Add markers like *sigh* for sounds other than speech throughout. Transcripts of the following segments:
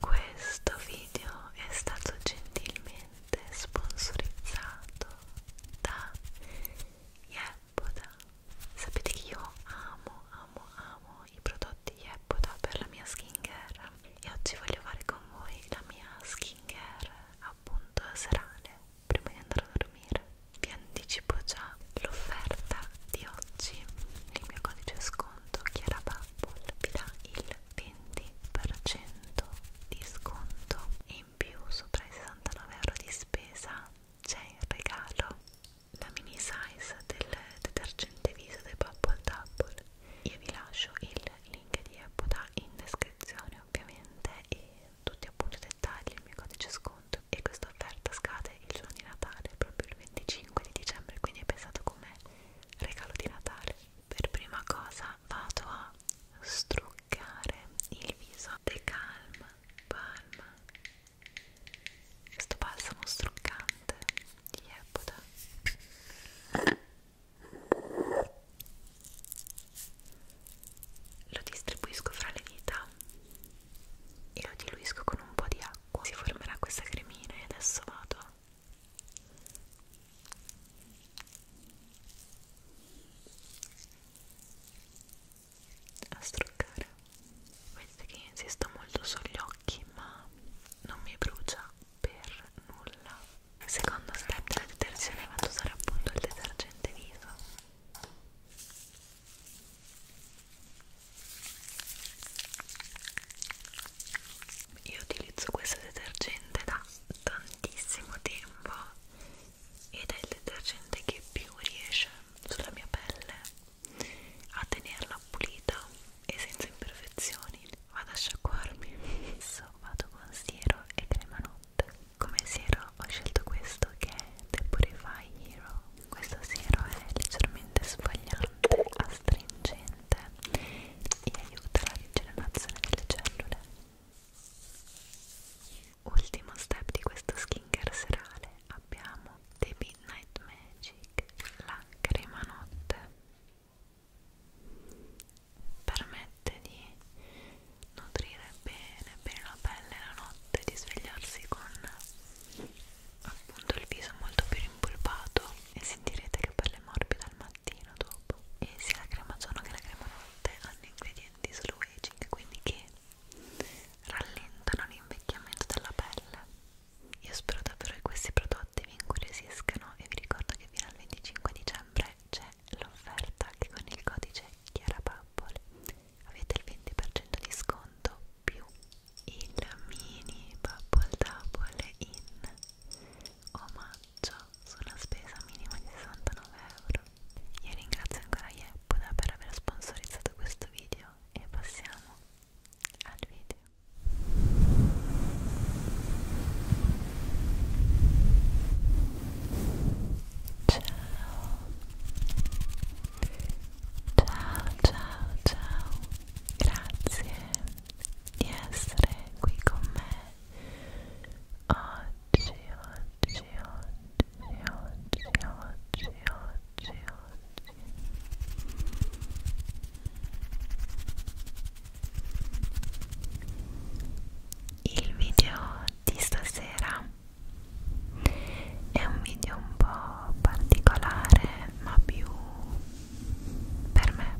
Questo video è stato gentilmente sponsorizzato da Yep Eppoda sapete che io amo amo amo i prodotti di Eppoda per la mia skincare e oggi voglio fare con voi la mia skincare appunto serale prima di andare a dormire vi anticipo già l'offerta di oggi il mio codice sconto Chiara Bubble vi dà il 20% di sconto e in più sopra i 69 euro di spesa c'è in regalo la mini size del detergente viso dei Bubble Double io vi lascio il link di Epoda in descrizione ovviamente e tutti appunto i dettagli, il mio codice sconto e questa offerta scade il giorno di Natale proprio il 25 di dicembre quindi è pensato come regalo di Natale per prima cosa vado a struccare toccare il viso The Calm Palm questo balsamo struccante di Epoda lo distribuisco fra le dita e lo diluisco con un po' di acqua si formerà questa cremina e adesso vado a struccare vedete che insisto molto sugli occhi ma non mi brucia per nulla il secondo step della detersione vado a usare appunto il detergente viso io utilizzo questo detergente da tantissimo tempo ed è il detergente che più riesce sulla mia pelle a tenerla pulita e senza imperfezioni vado a sciacquarmi adesso vado con siero e crema notte come siero ho scelto questo che è Depurify Hero questo siero è leggermente sbagliante astringente e aiuta la rigenerazione delle cellule Ultimo step di questo skincare serale abbiamo The Midnight Magic, la crema notte. Permette di nutrire bene, bene la pelle la notte, di svegliarsi con appunto il viso molto più rimpolpato e sentirete che pelle morbida al mattino dopo. E sia la crema giorno che la crema notte hanno ingredienti slow aging, quindi che rallentano l'invecchiamento della pelle. Io spero davvero che questi prodotti vi incuriosiscano e vi ricordo che fino al 25 dicembre c'è l'offerta che con il codice ChiaraPappole avete il 20% di sconto più il mini Pappole Double in omaggio su una spesa minima di 69 euro io ringrazio ancora Yeppoda per aver sponsorizzato questo video e passiamo al video. Ciao Ciao ciao ciao Grazie di essere qui con me Oggi, oggi, oggi, oggi, oggi, oggi Il video di stasera è un video un po' particolare ma più per me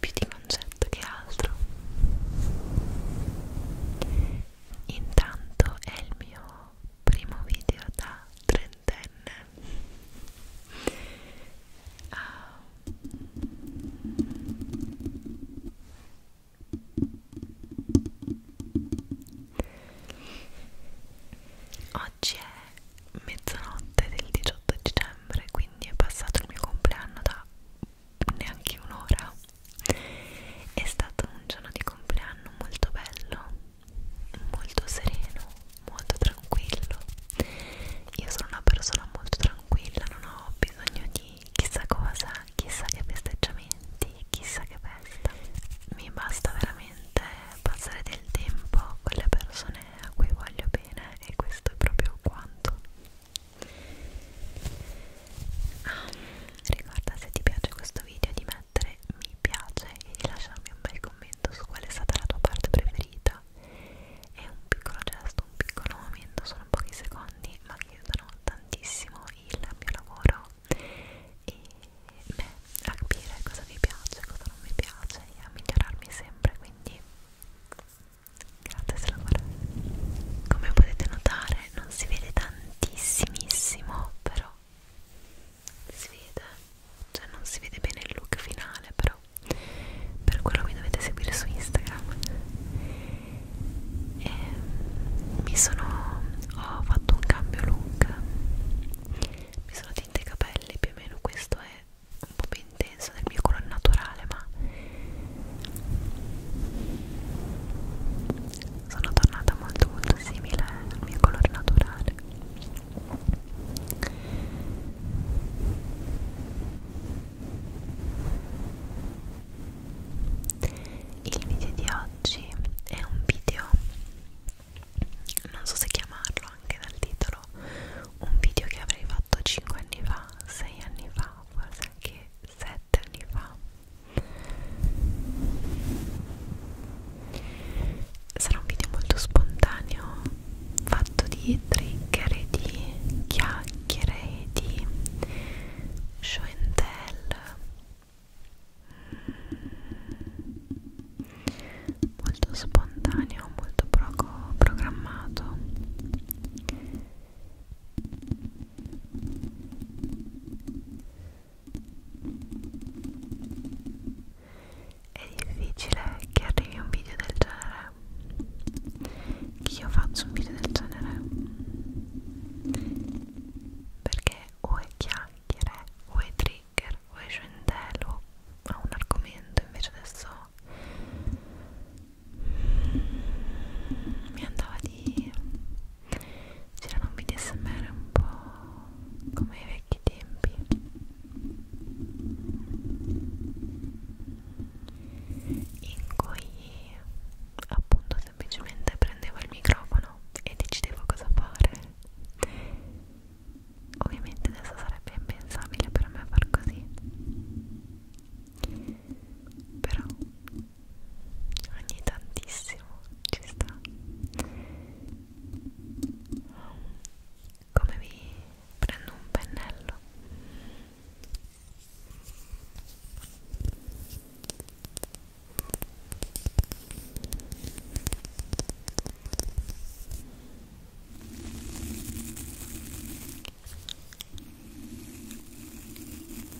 più di concetto che altro Intanto è il mio primo video da trentenne. Uh, oggi è mezzanotte del 18 dicembre, quindi è passato il mio compleanno da neanche un'ora è stato un giorno di compleanno molto bello molto sereno molto tranquillo io sono una persona molto tranquilla non ho bisogno di chissà cosa chissà che festeggiamenti chissà che festa mi basta veramente passare del tempo con le persone a cui voglio bene e questo è proprio quanto ah, ricorda se ti piace questo video di mettere mi piace e di lasciarmi un bel commento su qual è stata la tua parte preferita è un piccolo gesto, un piccolo momento, sono pochi secondi ma che aiutano tantissimo il mio lavoro e beh, a capire cosa vi piace, cosa non vi piace e a migliorarmi sempre quindi grazie se lo guardate come potete notare mentre non si vede tantissimissimo però si vede cioè non si vede bene il look finale però per quello mi dovete seguire su Instagram e mi sono ho fatto un cambio look mi sono tinta i capelli più o meno questo è un po' più intenso del mio colore naturale ma sono tornata molto molto simile al mio colore naturale il video di oggi è un video non so se chiamarlo anche dal titolo un video che avrei fatto 5 anni fa 6 anni fa forse anche sette anni fa sarà un video molto spontaneo fatto di trigger e di chiacchiere e di show and tell molto spontaneo molto poco programmato è difficile che arrivi un video del genere, che io faccio un video del genere, perché o è chiacchiere, o è trigger, o è scendelo a un argomento, invece adesso mi andava di c'erano video smr un po' come ai vecchi tempi in cui appunto semplicemente prendevo il microfono e decidevo cosa fare ovviamente adesso sarebbe impensabile per me far così però ogni tantissimo ci sta come vi prendo un pennello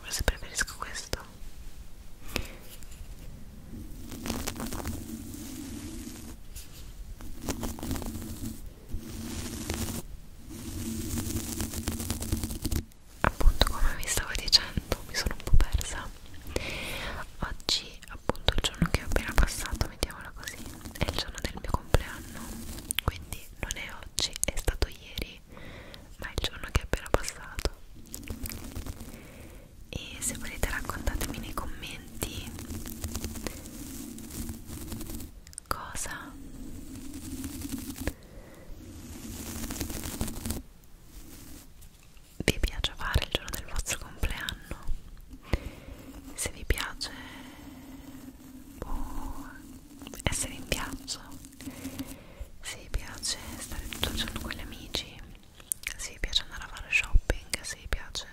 Forse preferisco questo. Appunto, come vi stavo dicendo, mi sono un po' persa. Oggi appunto il giorno che ho appena passato, mettiamola così, è il giorno del mio compleanno, quindi non è oggi, è stato ieri, ma è il giorno che è appena passato. E se volete raccontatemi nei commenti cosa vi piace fare il giorno del vostro compleanno se vi piace boh, essere in piazza se vi piace stare tutto il giorno con gli amici se vi piace andare a fare shopping se vi piace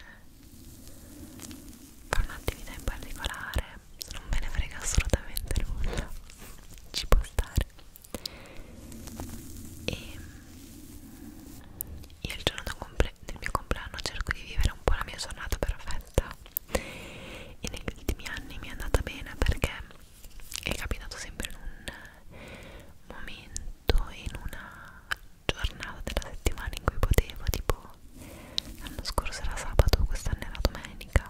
fare un'attività in particolare non ve ne frega assolutamente nulla ci può stare e io il giorno del mio compleanno cerco di vivere un po' la mia giornata perfetta e negli ultimi anni mi è andata bene perché è capitato sempre in un momento in una giornata della settimana in cui potevo tipo l'anno scorso era sabato quest'anno era domenica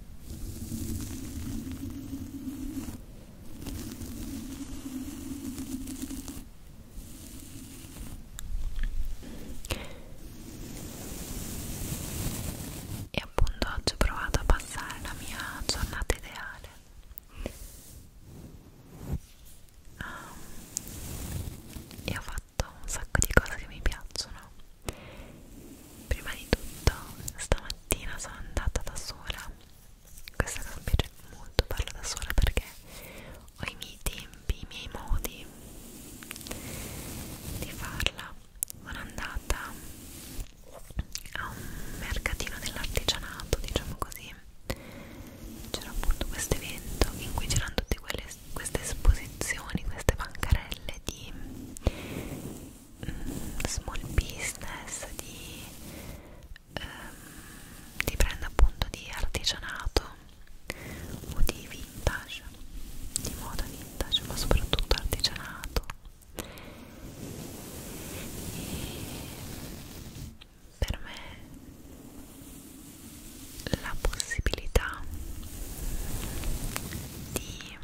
E appunto oggi ho provato a passare la mia giornata ideale um, e ho fatto un sacco di cose che mi piacciono prima di tutto stamattina sono andata da sola questa cosa mi piace molto parlo da sola perché ho i miei tempi, i miei modi di farla sono andata a un mercatino dell'artigianato diciamo così c'era appunto questo evento in cui c'erano tutte quelle, queste esposizioni, queste bancarelle di small business, di, ehm, di brand appunto di artigianato o di vintage, di moda vintage, ma soprattutto artigianato. E per me la possibilità di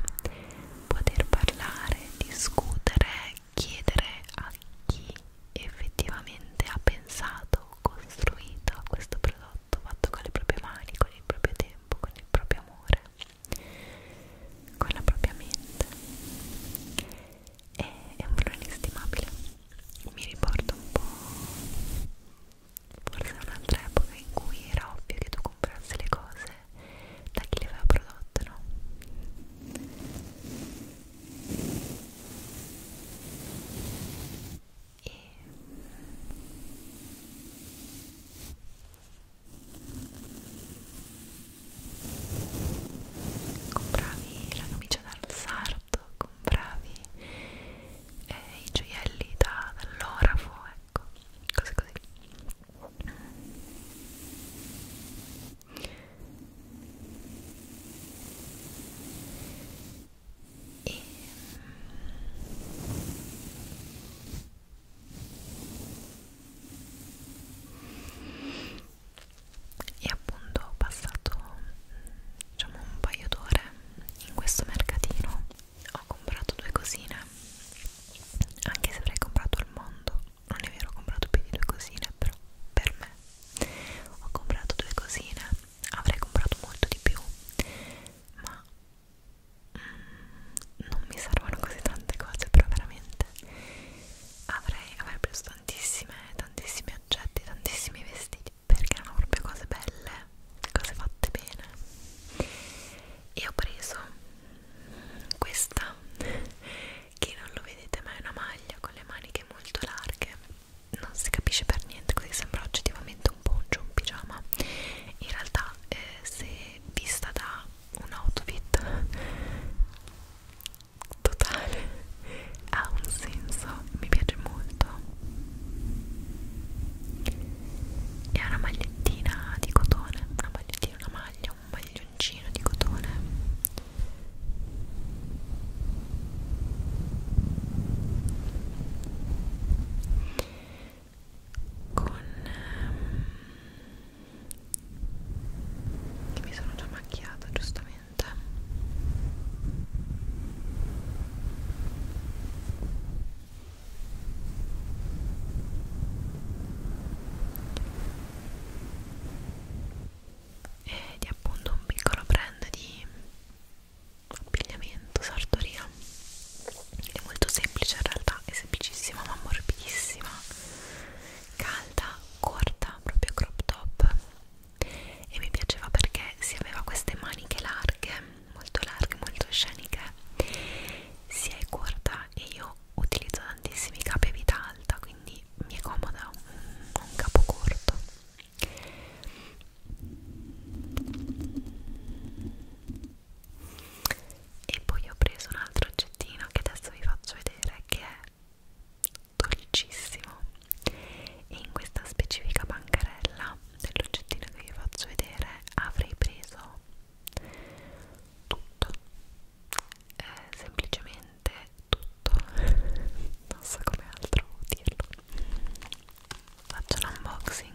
poter parlare, discutere, chiedere a chi effettivamente ha pensato, costruito a questo prodotto fatto con le proprie mani, con il proprio tempo, con il proprio amore, con la propria mente. E è un valore inestimabile. Mi riporta un po' forse a un'altra epoca in cui era ovvio che tu comprassi le cose cose da chi le aveva prodotte, no? E compravi la camicia dal sarto, compravi eh, i gioielli da, dall'orafo, ecco ecco, cose così e mm, e appunto ho passato mm, diciamo un paio d'ore in questo mercatino ho comprato due cosine anche se avrei comprato al mondo non è vero ho comprato più di due cosine però per me ho comprato due cosine avrei comprato molto di più ma mm, non mi servono così tante cose però veramente avrei, avrei preso tantissime tantissimi oggetti tantissimi vestiti perché erano proprio cose belle cose fatte bene e ho preso questa che non lo vedete ma è una maglia con le maniche molto larghe non si capisce per niente così sembra oggettivamente un poncio un pigiama in realtà eh, se vista da un outfit totale ha un senso mi piace molto è una magliettina di cotone una magliettina metti una maglia, un maglioncino di cotone con ehm, che mi sono già macchiata giustamente ed eh, è appunto un piccolo brand di abbigliamento sartoria è molto semplice in realtà è semplicissima ma morbidissima calda corta proprio crop top e mi piaceva perché si aveva queste maniche larghe molto larghe molto sceniche sia è corta e io utilizzo tantissimi capi a vita alta quindi mi è comoda un, un capo corto e poi ho preso un altro oggettino che adesso vi faccio vedere che è dolcissimo e in questa specifica bancarella dell'oggettino che vi faccio vedere avrei preso tutto eh, semplicemente tutto *laughs* non so come altro dirlo faccio l'unboxing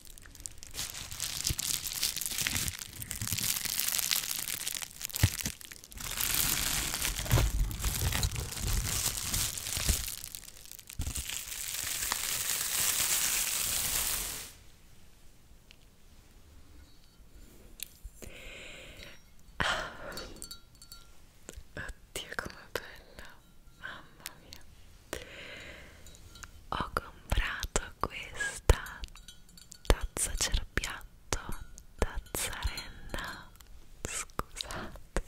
Ah. Oddio com'è bella, mamma mia! Ho comprato questa tazza cerbiatto, tazzarella, scusate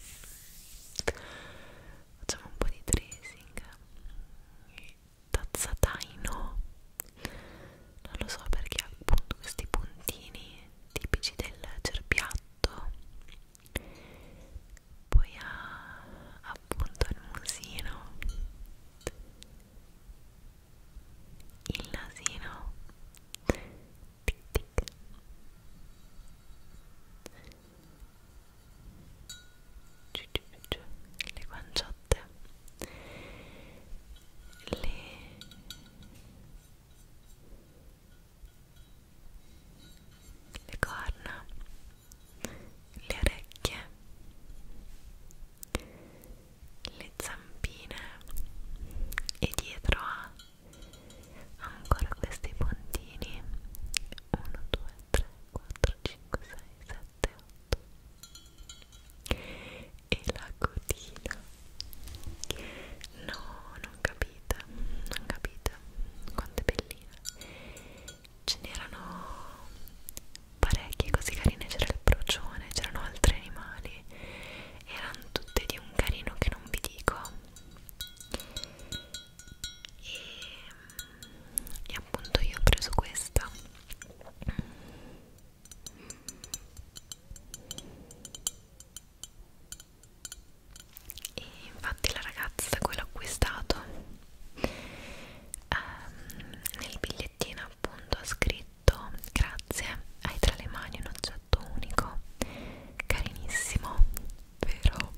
facciamo un po' di tracing tazzataino non lo so perché ha appunto questi puntini tipici del cerbiatto poi ha appunto il musino il nasino tic tic giù, giù, giù. le guanciotte le le corna le orecchie, le zampine e dietro ha ancora questi puntini 1, 2, 3, 4, 5, 6, 7, 8 e la cotina no, non capite, non capite quanto è bellina ce n'erano parecchie così carine, c'era il procione, c'erano altri animali, erano tutte di un carino che non vi dico e, e appunto io ho preso questa e infatti la ragazza da cui l'ho acquistato ehm, nel biglietto magliettina appunto ha scritto grazie hai tra le mani un oggetto unico carinissimo vero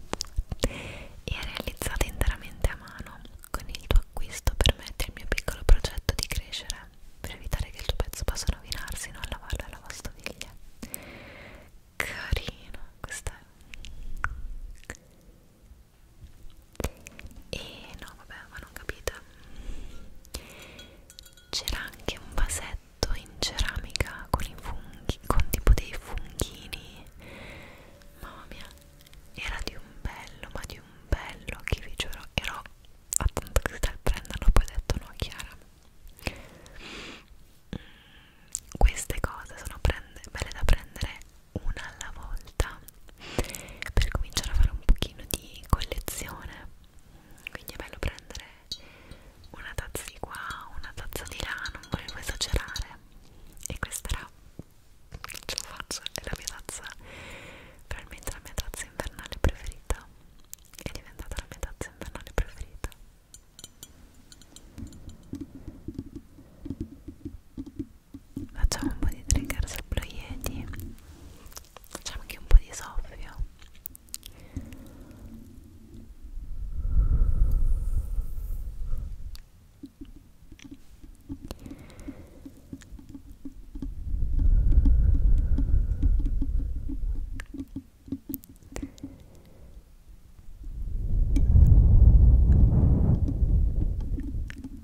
e è realizzata interamente a mano con il tuo acquisto permette il mio piccolo progetto di crescere per evitare che il tuo pezzo possa rovinarsi non lavarlo alla lavastoviglie carino questa è e no vabbè ma non capite c'era anche un vasetto in ceramica con i funghi con tipo dei funghini mamma mia era di un bello ma di un bello che vi giuro ero attenta che stai prendendo poi ho detto no Chiara Mm, queste cose sono prende, belle da prendere una alla volta per cominciare a fare un pochino di collezione quindi è bello prendere una tazza di qua una tazza di là non volevo esagerare e questa era ce la faccio è la mia tazza probabilmente la mia tazza invernale preferita è diventata la mia tazza invernale preferita facciamo un po' di trigger sul blu yeti facciamo anche un po' di soffio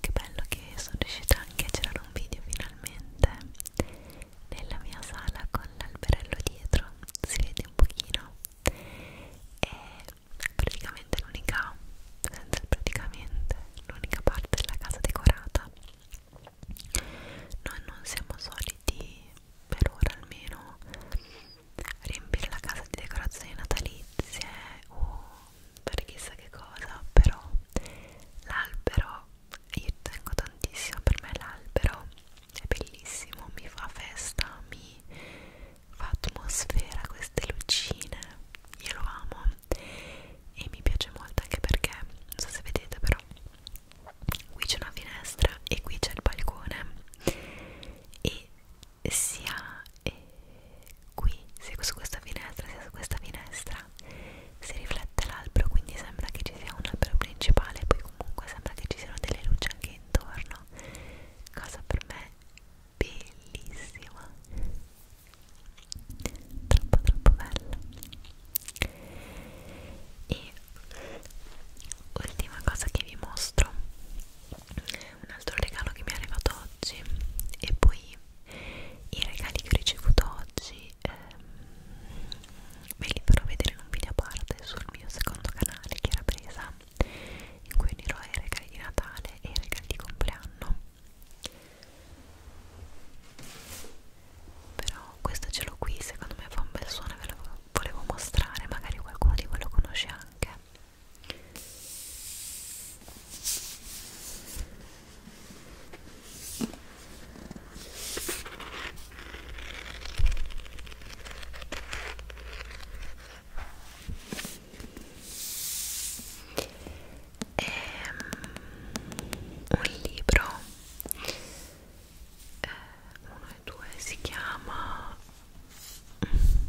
Che bello che sono riuscita anche a girare un video finalmente nella mia sala con l'alberello dietro, si vede un pochino e praticamente l'unica senza il praticamente l'unica parte della casa decorata noi non siamo soliti per ora almeno riempire la casa di decorazioni natalizie o per chissà che cosa però l'albero io tengo tantissimo per me l'albero è bellissimo mi fa festa mi fa atmosfera queste lucine io lo amo e mi piace molto anche perché non so se vedete però qui c'è una finestra e qui c'è il balcone e sia eh, qui sia su questa finestra sia su questa finestra si riflette l'albero quindi sembra che ci sia un albero principale poi comunque sembra che ci siano delle luci anche intorno cosa per me bellissima troppo troppo bella e ultima cosa che vi mostro un altro regalo che mi è arrivato oggi e poi i regali che ho ricevuto oggi ehm, ve li farò vedere in un video a parte sul mio secondo canale che era presa in cui unirò i regali di Natale e i regali di compleanno però questo ce l'ho qui secondo me fa un bel suono e ve lo volevo mostrare magari qualcuno di voi lo conosce anche è ehm, un libro eh, uno e due si chiama Murakami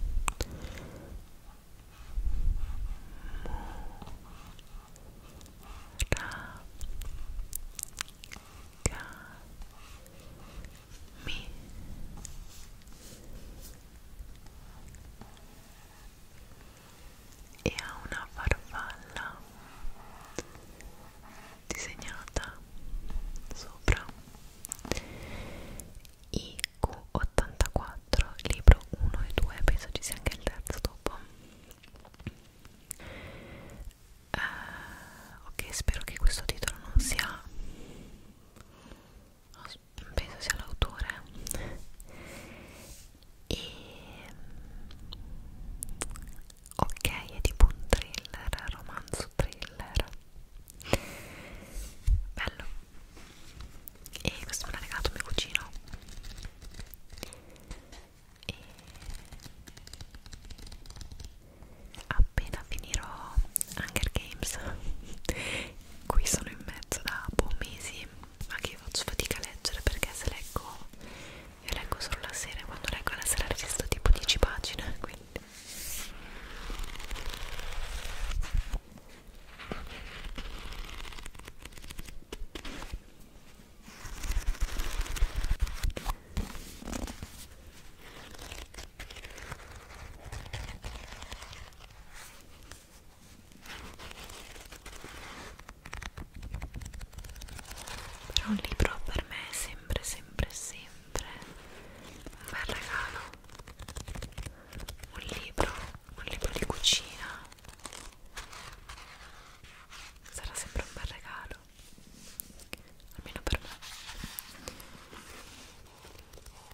e ha una farfalla disegnata sopra IQ84 libro 1 e 2 penso ci sia anche il terzo dopo uh, ok spero che questo titolo non sia penso sia l'autore e ok è tipo un thriller romanzo thriller bello e questo me l'ha regalato mio cugino e appena finirò Hunger Games qui sono in mezzo da buon mesi ma che faccio fatica a leggere perché se leggo io leggo solo la sera e quando leggo la sera registro tipo 10 pagine quindi però un libro per me è sempre, sempre, sempre un bel regalo. Un libro, un libro di cucina. Sarà sempre un bel regalo, almeno per me.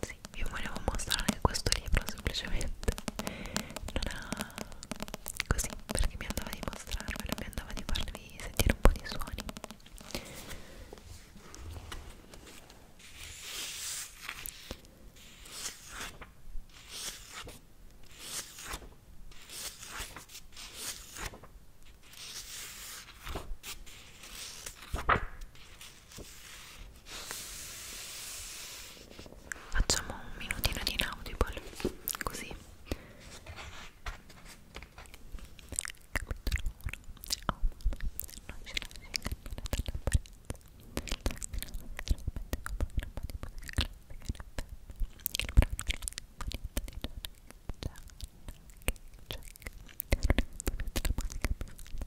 sì, vi volevo mostrare anche questo libro semplicemente non era così perché mi andava di mostrarvelo mi andava di farvi sentire un po' di suoni Facciamo un minutino di inaudible, così. Capitolo 1. Oh, non ci lasci ingannare dall'apparenza. Il brano che è la moneta di Gianna, che c'è, che non è più la manica più,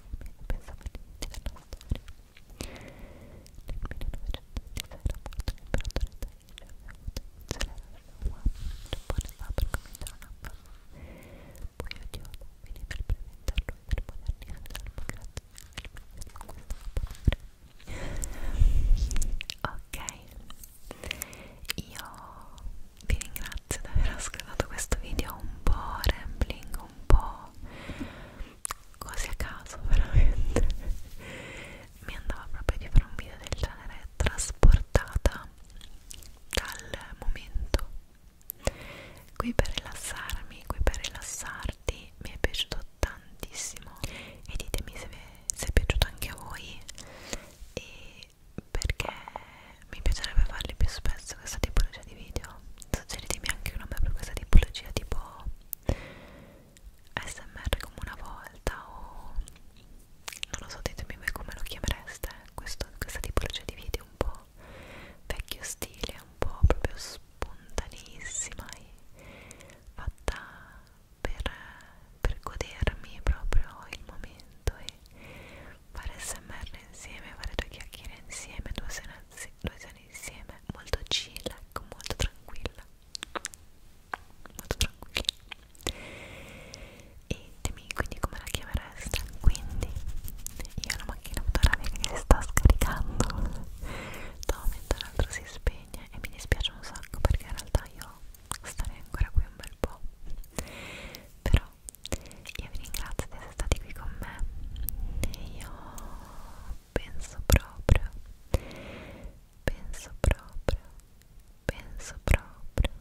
pensavo all'inizio della storia. Nel 1926 era morto l'imperatore Taiji, aveva avuto inizio la Showa, il Giappone stava per cominciare una fase. Poi Yoda finì per preventarlo e per modernizzare la democrazia e il paese conquistava Ok, io vi ringrazio di aver ascoltato questo video un po' rambling, un po' cose a caso *laughs* veramente mi andava proprio di fare un video del genere trasportata dal momento qui per rilassarmi qui per rilassarti mi è piaciuto tantissimo e ditemi se, se è piaciuto anche a voi e perché mi piacerebbe farli più spesso questa tipologia di video suggeritemi anche un nome per questa tipologia tipo smr come una volta o non lo so ditemi voi come lo chiamereste questo, questa tipologia di video un po' vecchio stile un po' proprio spontanissima e fatta per, per godermi proprio il momento e fare smr insieme, fare due chiacchiere insieme, due sessioni insieme, molto chill, ecco, molto tranquilla molto tranquilla e dimmi quindi come la chiamereste quindi io ho la macchina fotografica che si sta scaricando da un momento all'altro si spegne e mi dispiace un sacco perché in realtà io starei ancora qui un bel po' però ciao io vi ringrazio di essere stati qui con me e io penso proprio penso proprio penso proprio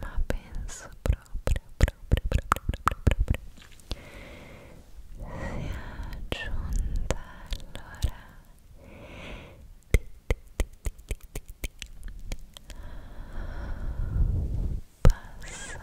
ma penso proprio proprio proprio proprio proprio è giunta l'ora di, di, di, di, di, di, di passare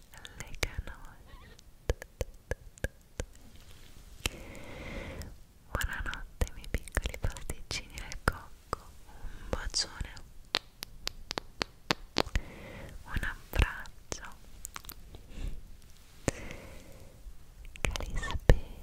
le canoche buonanotte miei piccoli pasticcini del cocco un bacione un abbraccio che li spera